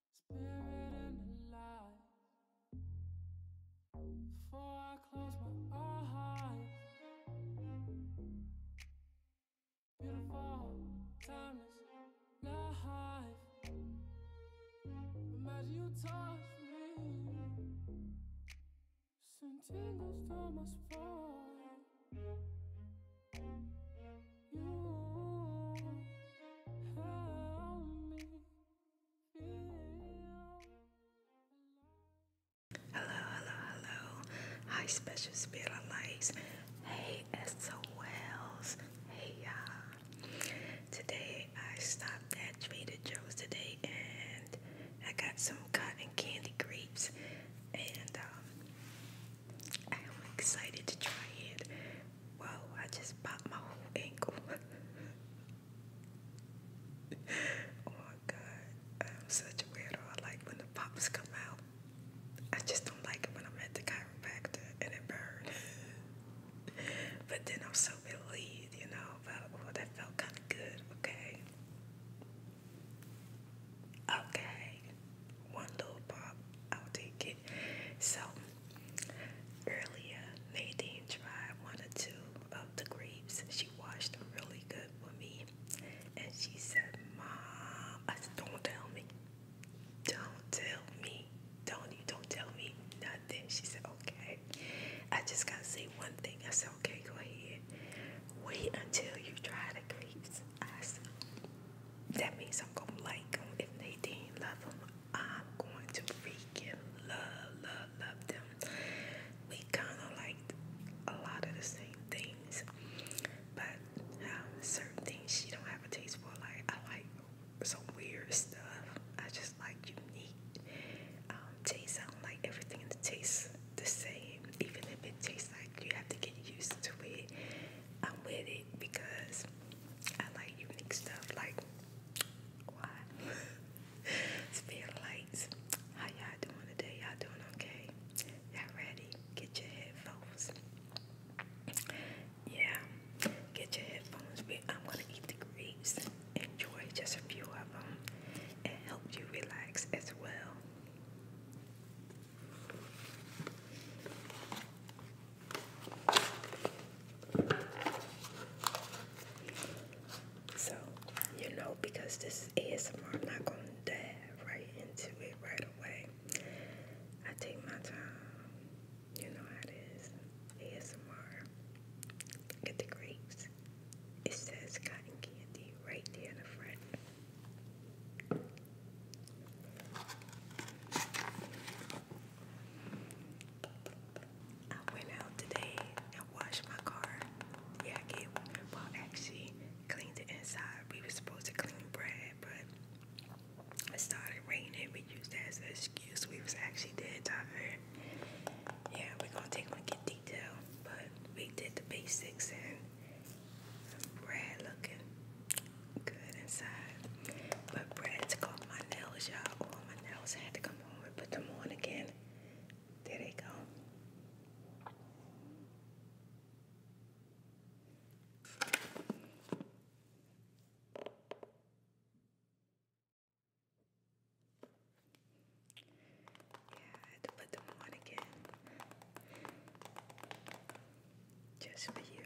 Spirit and the light. Before I close my eyes. Beautiful, timeless life. Imagine you touch me. Send tingles down Hello, hello, hello. Hi, special spirit lights. Hey, SOLs. Hey, y'all. Today I stopped at Trader Joe's today and I got some cotton candy grapes. And I'm um, excited to try it. Whoa, I just popped my whole ankle. oh my god, I'm such a weirdo. like when the pops come out. I just don't like it when I'm at the chiropractor and it burns. but then I'm so relieved, you know, about oh, that felt kind of good, okay? Okay, one little pop, I'll take it. So, Earlier, Nadine tried one or two of the grapes. She washed them really good for me. And she said, Mom, I said, don't tell me. Don't tell me. Don't you don't tell me nothing. She said, okay. I just gotta say one thing. I said, okay, go ahead. Wait until you try the grapes. I said, that means I'm gonna like them. If Nadine love them, I'm going to freaking love, love, love them. We kind of like a lot of the same things, but um, certain things she don't have a taste for. Like I like some weird stuff. I just like unique um, taste. I don't like everything that taste the same, even if it tastes like you have to get used to it. I'm with it because I like unique stuff like why How y'all doing today? Y'all doing okay? Y'all ready? Get your headphones. Yeah, get your headphones. I'm gonna eat the grapes. Enjoy just a few of them and help you relax as well. So, you know, because this is ASMR, I'm not going to dive right into it right away. I take my time. You know how it is. ASMR. Get the grapes. It says cotton candy right there in the front. I went out today and washed my car. Yeah, I gave well actually cleaned the inside. We were supposed to clean bread, but it started raining. We used that as an excuse. We was actually dead tired. Yeah, we gonna take one get detail, but we did the basics and bread looking good inside. But Brad took off my nails, y'all. All my nails I had to come home and put them on again. There they go. Yeah, I had to put them on again just for you.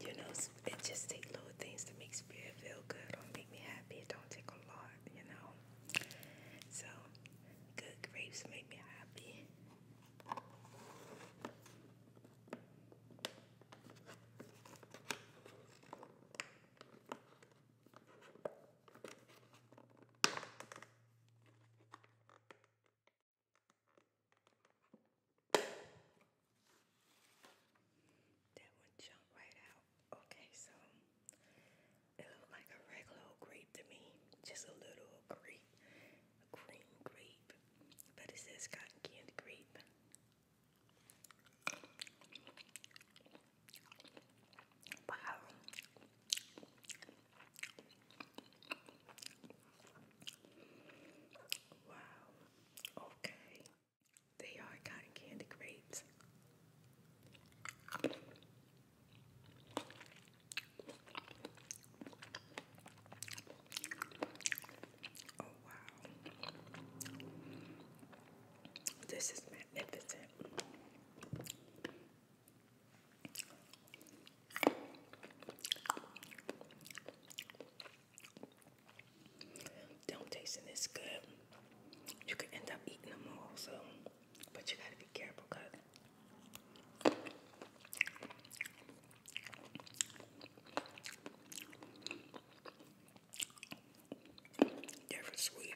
You know, it just take little things to make spirit feel good or make me happy. It don't take a lot, you know. So, good grapes make me happy. That one jumped right out. Okay, so it looked like a regular old grape to me. Just a little grape. A green grape. But it says cotton candy grape. Wow. Wow. Okay. They are cotton candy grapes. Oh wow. This is magnificent. Don't taste this good. You could end up eating them all, so but you gotta be careful because they're sweet.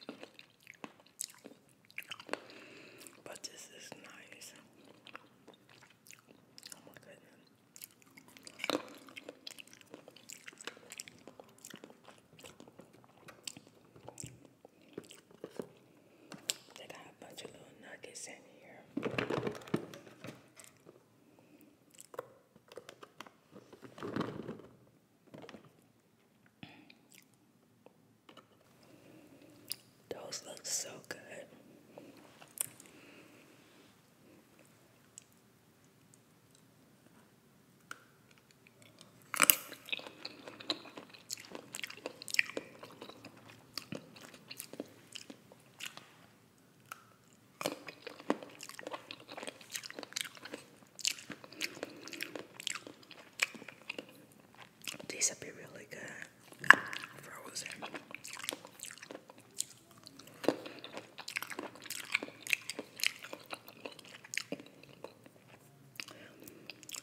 But this is nice. Oh my goodness. They got a bunch of little nuggets in here. Those look so good. These would be really good frozen.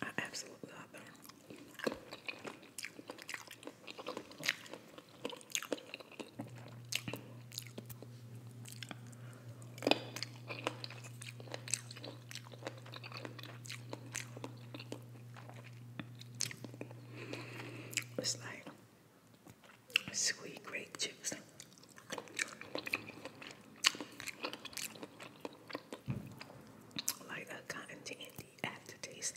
I absolutely love them. It's like sweet grape chips. Like a cotton candy aftertaste.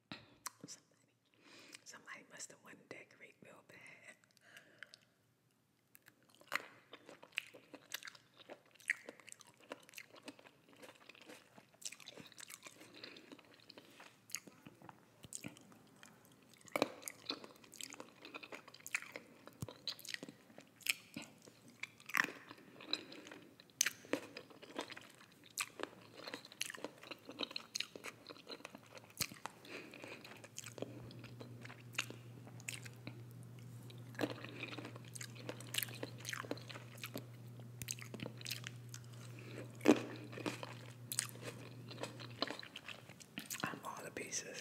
Somebody, somebody must have wanted to decorate real bad. I'm all the pieces.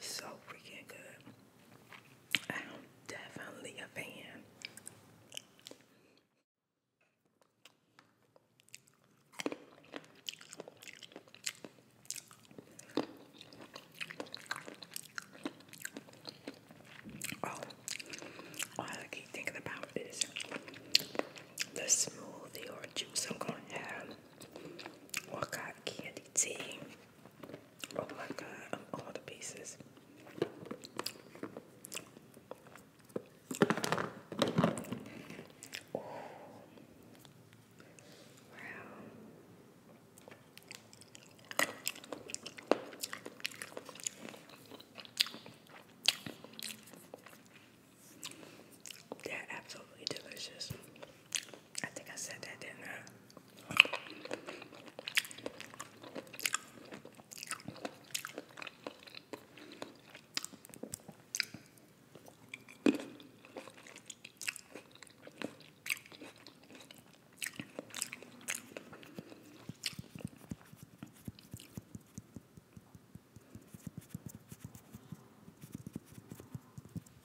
So freaking good. I'm definitely a fan. Oh, all I keep thinking about is the smoothie or juice I'm gonna have, or cotton candy tea. Oh my god, I'm all the pieces. Wow. They're absolutely delicious. I think I said that, didn't I?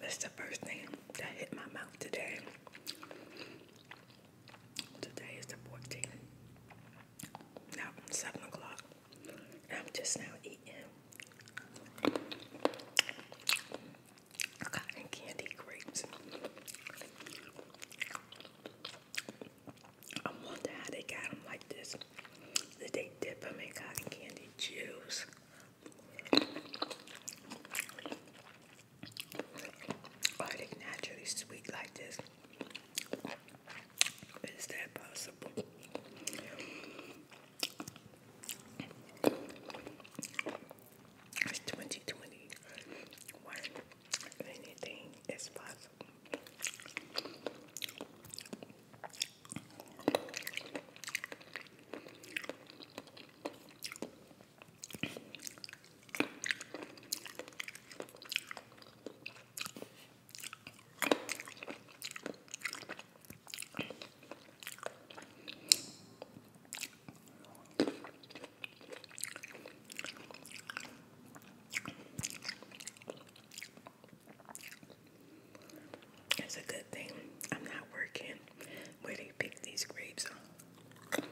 That's the first thing that hit my mouth today. Today is the 14th. Now, 7 o'clock. I'm just now eating cotton candy grapes. I wonder how they got them like this. Did they dip them in cotton candy juice? Are they naturally sweet like this? Is that possible? It's 2021. Anything is possible. It's a good thing I'm not working where they pick these grapes up.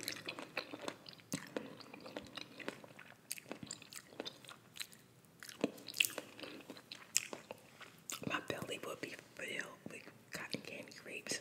My belly will be vanilla like cotton candy grapes.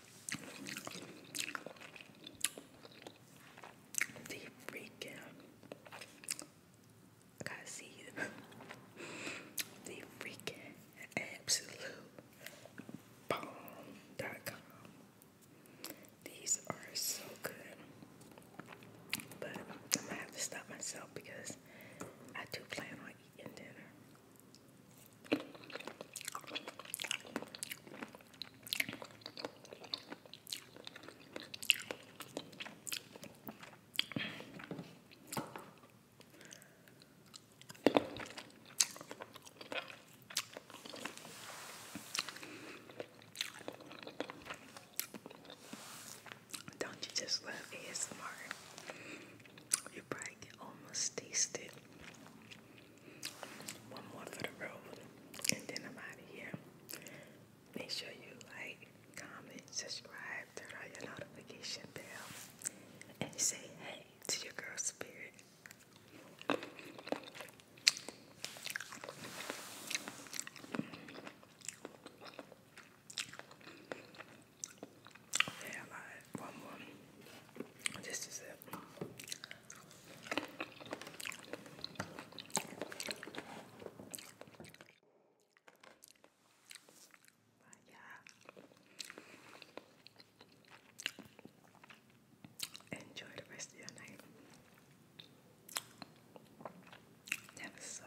The freaking I the freaking absolute bomb.com. These are so good. But I'm gonna have to stop myself because I do plan on eating dinner. Don't you just love ASMR? You probably can almost taste it. One more for the road, and then I'm out of here. Make sure you like, comment, subscribe, turn on your notification bell, and say hey to your girl spirit have I one more? This is it. But yeah. Enjoy the rest of your night. That was so